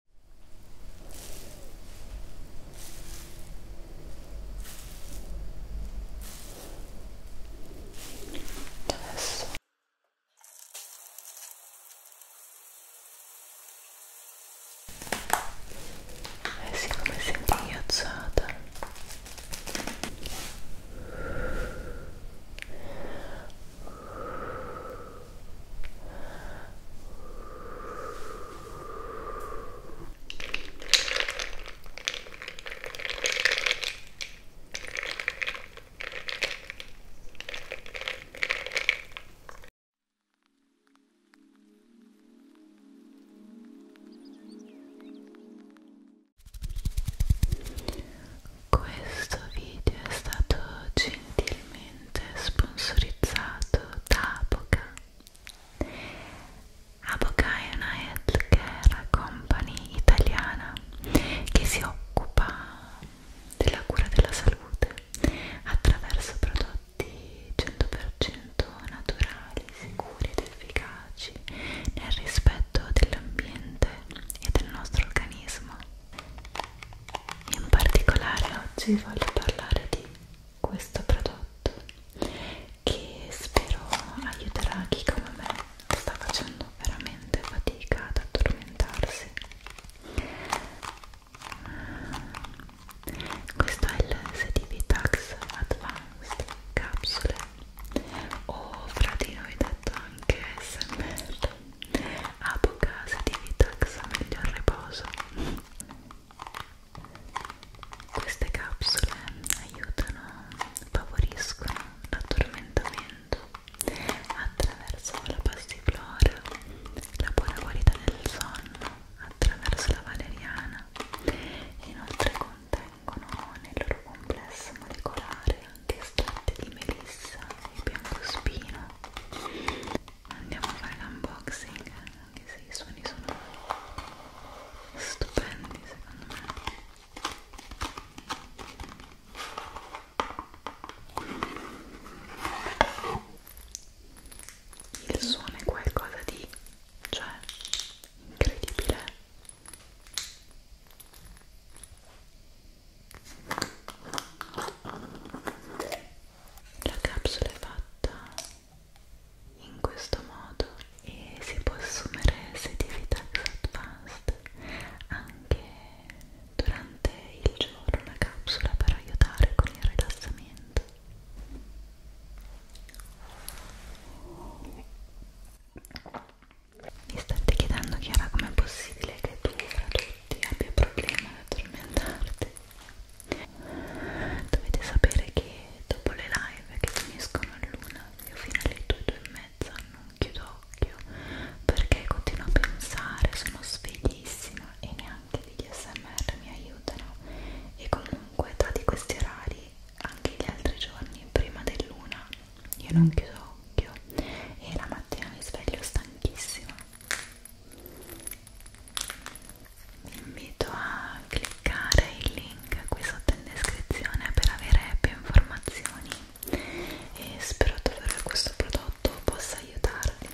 adesso eh sì come senti ghiacciata questo video è stato gentilmente gentilmente sponsorizzato da Aboca. Aboca è una healthcare company italiana che si occupa della cura della salute attraverso prodotti 100% naturali, sicuri ed efficaci nel rispetto dell'ambiente e del nostro organismo. In particolare oggi voglio parlare di questo prodotto che spero aiuterà chi come me sta facendo veramente fatica ad addormentarsi. Questo è il CDB Tax Advanced Capsule o fra di noi detto anche SMR Apocase di Vitax meglio al riposo queste capsule aiutano, favoriscono l'addormentamento attraverso la passiflora, la buona qualità del sonno, attraverso la valeriana e inoltre contengono nel loro complesso molecolare anche estratti di melissa e biancospino andiamo a fare l'unboxing anche se i suoni sono stupendi secondo me il suono è qualcosa di cioè incredibile la capsula è fatta in questo modo e si può assumere se di Vitax Advanced anche durante il giorno la capsula per aiutare con il rilassamento mi state chiedendo Chiara com'è possibile che tu fra tutti abbia problema ad addormentarti Dovete sapere che dopo le live che finiscono all'una, io fino alle due, due e mezza non chiudo occhio perché continuo a pensare, sono sveglissima e neanche degli smr mi aiutano e comunque tra di questi orari anche gli altri giorni prima dell'una io non chiudo occhio e la mattina mi sveglio stanchissima vi invito a cliccare il link qui sotto in descrizione per avere più informazioni e spero davvero che questo prodotto possa aiutarvi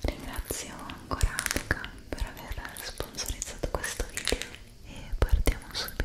ringrazio ancora Luca per aver sponsorizzato questo video e partiamo subito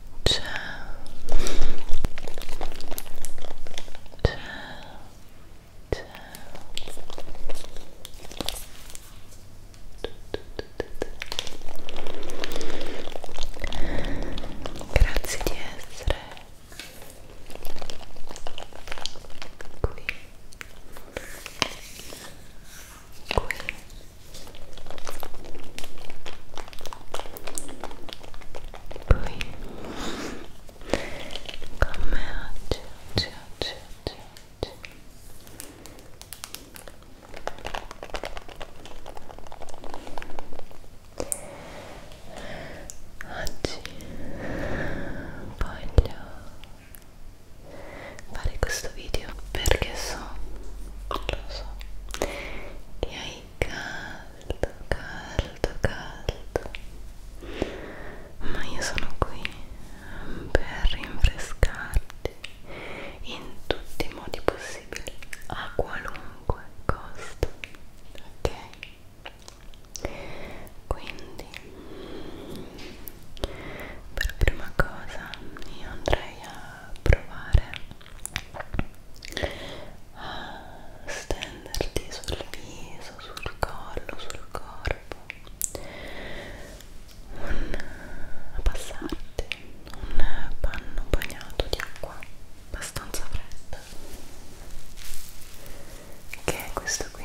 c'è c'è c'è grazie di essere qui qui poi come oggi, oggi, oggi, oggi, oggi. Oggi voglio fare questo video perché so, lo so, che hai caldo, caldo. Ma io sono qui per rinfrescarti in tutti i modi possibili, a qualunque costo. Ok? Quindi, per prima cosa, io andrei a provare a stenderti sul viso, sul collo, sul corpo un, a passarti un panno bagnato di acqua abbastanza fredda che è questo qui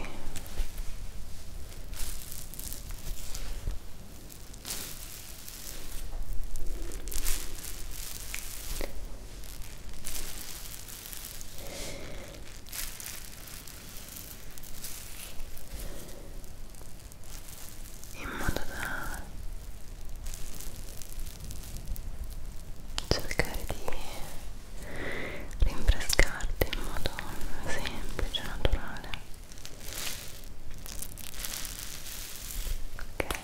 in modo da cercare di rinfrescarti in modo semplice, naturale ok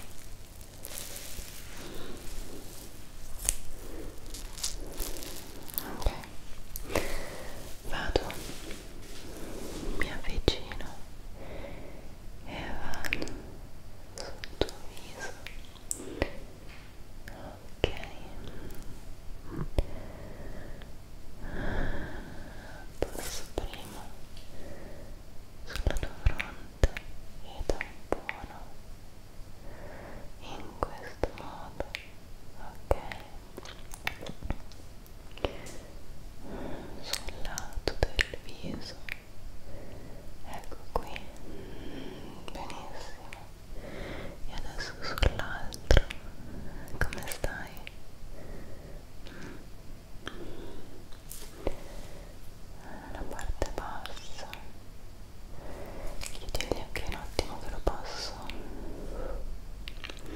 ok vado mi avvicino e vado sul tuo viso ok passo prima sulla tua fronte piccante e da buono in questo modo ok sul lato del viso ecco qui benissimo e adesso sull'altro come stai? la parte bassa chiuderli anche un attimo che lo passo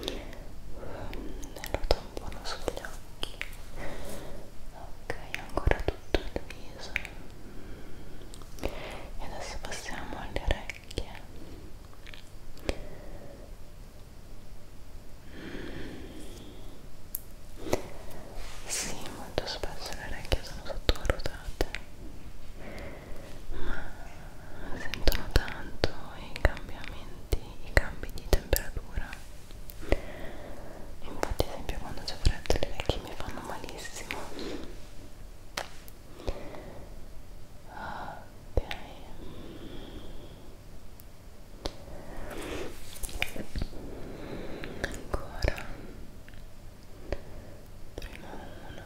e lo tampono sugli occhi ok ancora tutto il viso e adesso passiamo alle orecchie Mm. Sì, molto spesso le orecchie sono sottovalutate, ma sentono tanto i cambiamenti, i cambi di temperatura. Infatti, ad esempio, quando c'è freddo le orecchie mi fanno malissimo. Ok. Ancora prima uno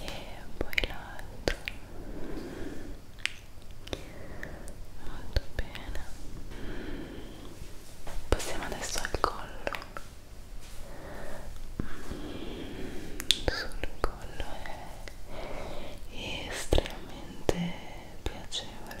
e poi l'altro molto bene passiamo adesso al collo sul collo è estremamente piacevole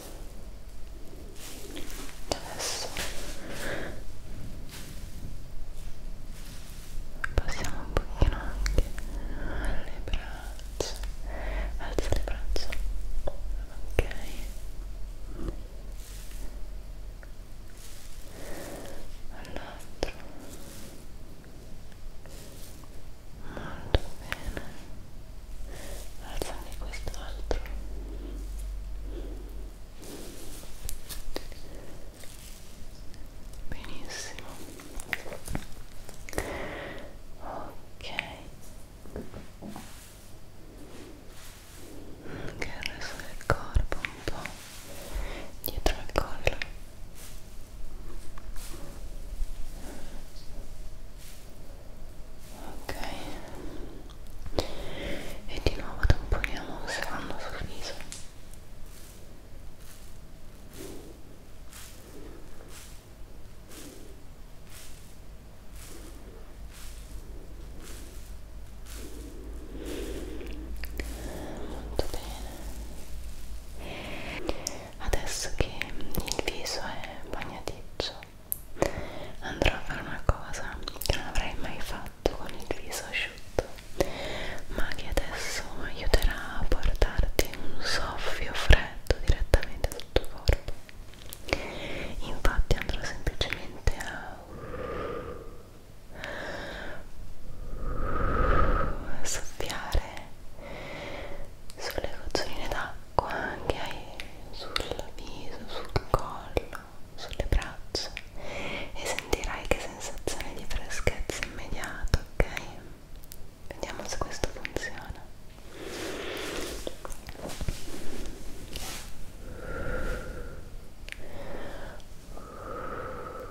adesso passiamo un pochino anche alle braccia alza le braccia ok all'altro molto bene alza anche quest'altro benissimo ok anche il resto del corpo un po' dietro al collo ok e di nuovo tamponiamo osservando sul viso molto bene adesso che il viso è bagnaticcio andrò a fare una cosa che non avrei mai fatto con il viso asciutto ma che adesso aiuterà a portarti un soffio freddo direttamente sul tuo corpo infatti andrò semplicemente a soffiare sulle goccioline d'acqua anche sul viso, sul collo, sulle braccia e sentirai che sensazione di freschezza immediata, ok? Vediamo se questo funziona. Ora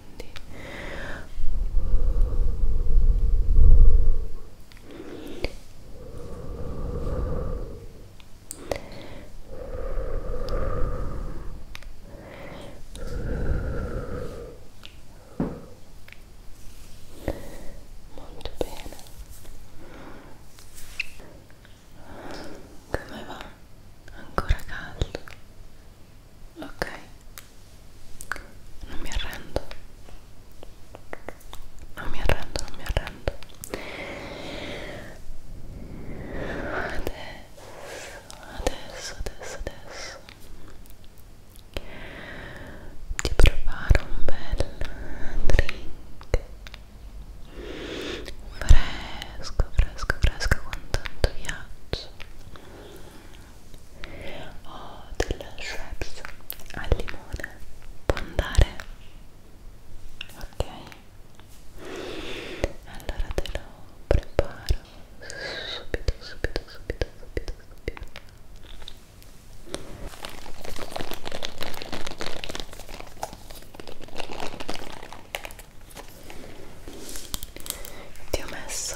quindi molto bene come va? ancora caldo ok non mi arrendo non mi arrendo non mi arrendo adesso adesso adesso adesso ti preparo un bel drink fresco fresco fresco con tanto viaggio o oh, del Schweppes al limone può andare? ok? allora te lo preparo subito subito subito subito subito ti ho messo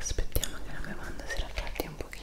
aspettiamo che la bevanda si raffreddi un pochino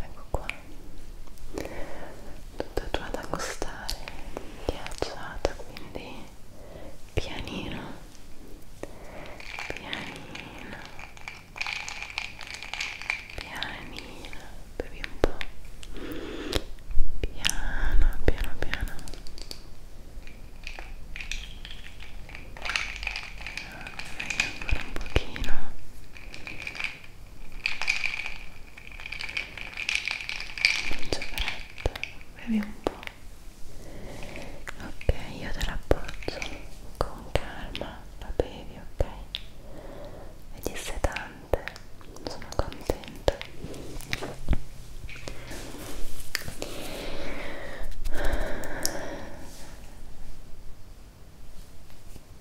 ecco qua tutta tatuata a costare ghiacciata quindi pianino pianino pianino bevi un po' piano piano piano venga ancora un pochino non c'è fretta bevi un po' ok io te l'appoggio con calma la bevi ok vedi se tante sono contenta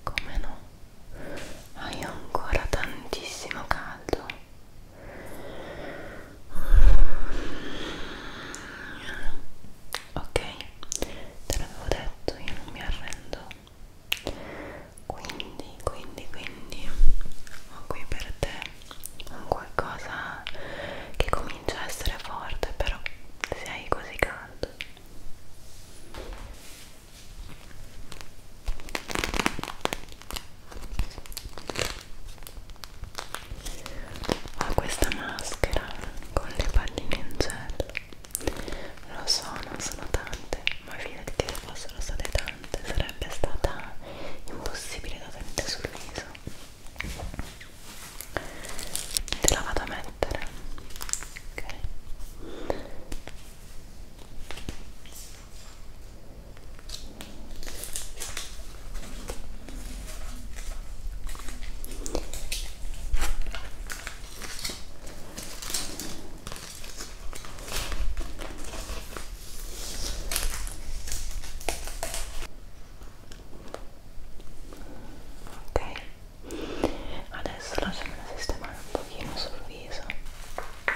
come no? Hai ancora tantissimo caldo. Ok, te l'avevo detto, io non mi arrendo. Quindi, quindi, quindi ho qui per te un qualcosa che con comincia a essere forte però se hai così caldo ho questa maschera con le palline in gel lo so non sono tante ma fidati che se fossero state tante sarebbe stata impossibile da tenere sul viso te la vado a mettere ok ok adesso lasciamela sistemare un pochino sul viso ok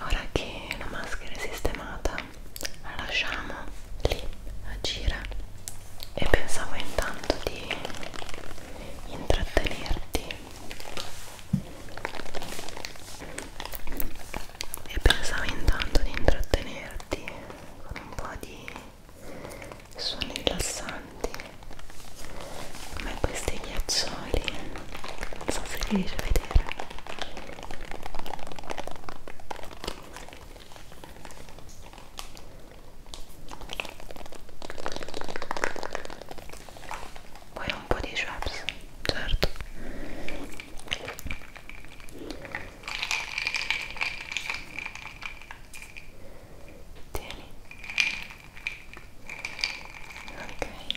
Ora che la maschera è sistemata, la lasciamo lì agire e pensavo intanto di intrattenerti e pensavo intanto di intrattenerti con un po' di suoni rilassanti come questi ghiaccioli non so se riesci a vedere Vuoi un po' di Schweppes? Certo Tieni Ok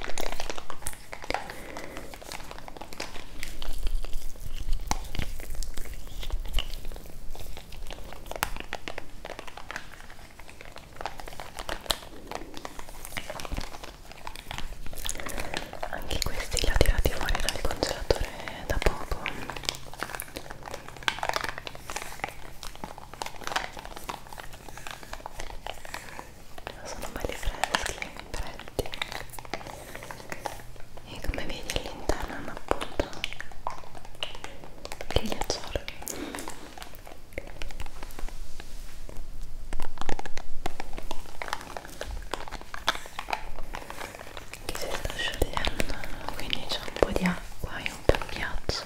Anche questi li ho tirati fuori dal congelatore da poco sono belli freschi, freddi e come vedi all'interno hanno appunto il ghiacciolo che si sta sciogliendo quindi c'è un po' di acqua e un po' di ghiaccio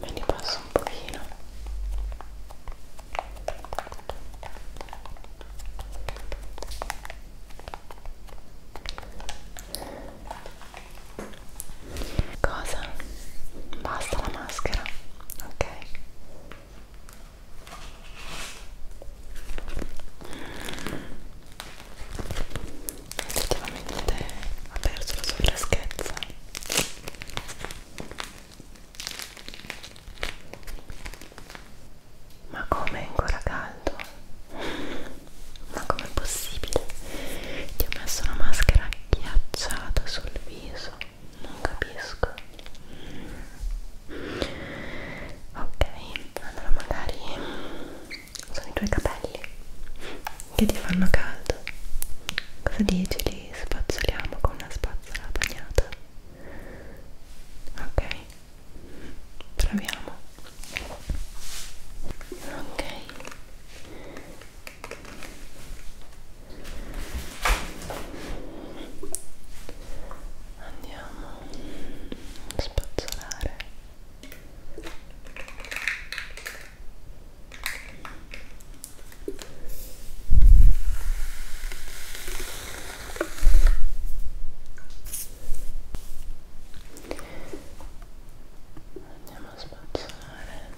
me li passo un pochino cosa? basta la maschera ok effettivamente ha perso la sua freschezza ma come è ancora caldo? Ma com'è possibile? Ti ho messo una maschera ghiacciata sul viso, non capisco. Ok, allora magari sono i tuoi capelli che ti fanno caldo. Cosa dici? li spazzoliamo con una spazzola bagnata ok proviamo ok andiamo a spazzolare andiamo a spazzolare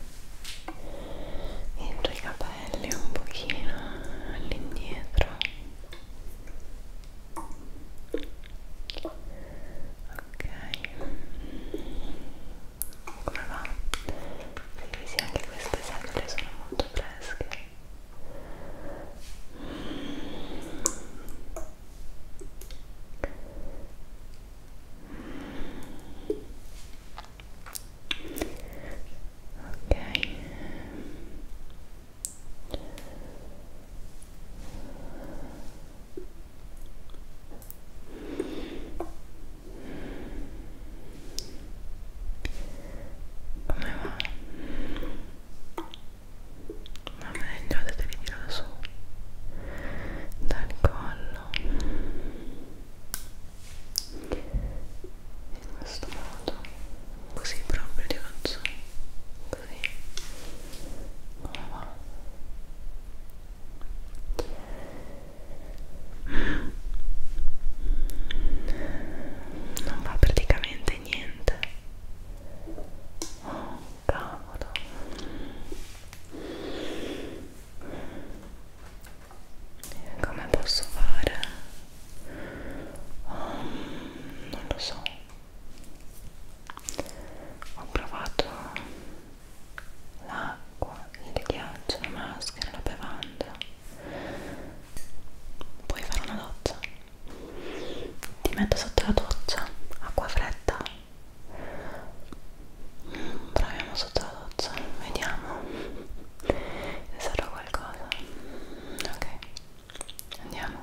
dentro i capelli un pochino all'indietro ok come va? Sì, sì, anche queste sempre sono molto fresche. Ok. ok come va? Va meglio, adesso che tiro da su dal collo in questo modo così proprio ti faccio così come va non fa praticamente niente oh cavolo come posso fare? Oh, non lo so ho provato l'acqua il ghiaccio, la maschera, la bevanda puoi fare una doccia ti metto sotto la doccia acqua fredda mm, proviamo sotto la doccia vediamo se sarà qualcosa ok andiamo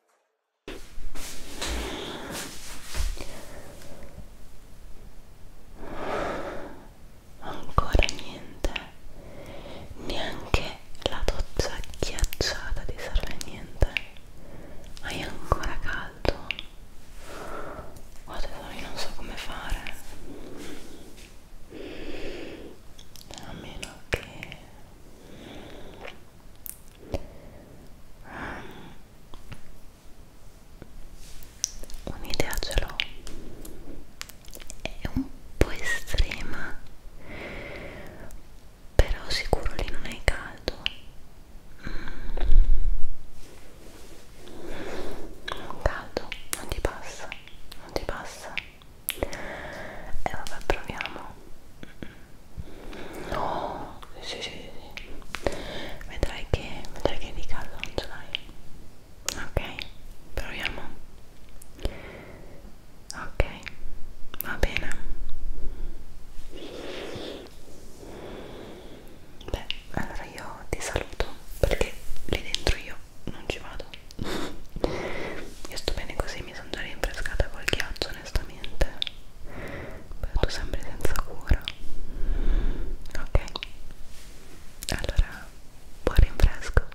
ancora niente neanche la doccia ghiacciata ti serve a niente hai ancora caldo oh tesoro io non so come fare a meno che Un'idea ce l'ho, è un po' estrema, però sicuro lì non è caldo. Non mm. caldo, non ti passa, non ti passa e vabbè proviamo no sì sì sì vedrai che vedrai che di caldo non ce l'hai ok proviamo ok va bene beh allora io ti saluto perché lì dentro io non ci vado io sto bene così mi sono già rinfrescata col ghiaccio onestamente però tu sembri senza cura ok allora buon rinfresco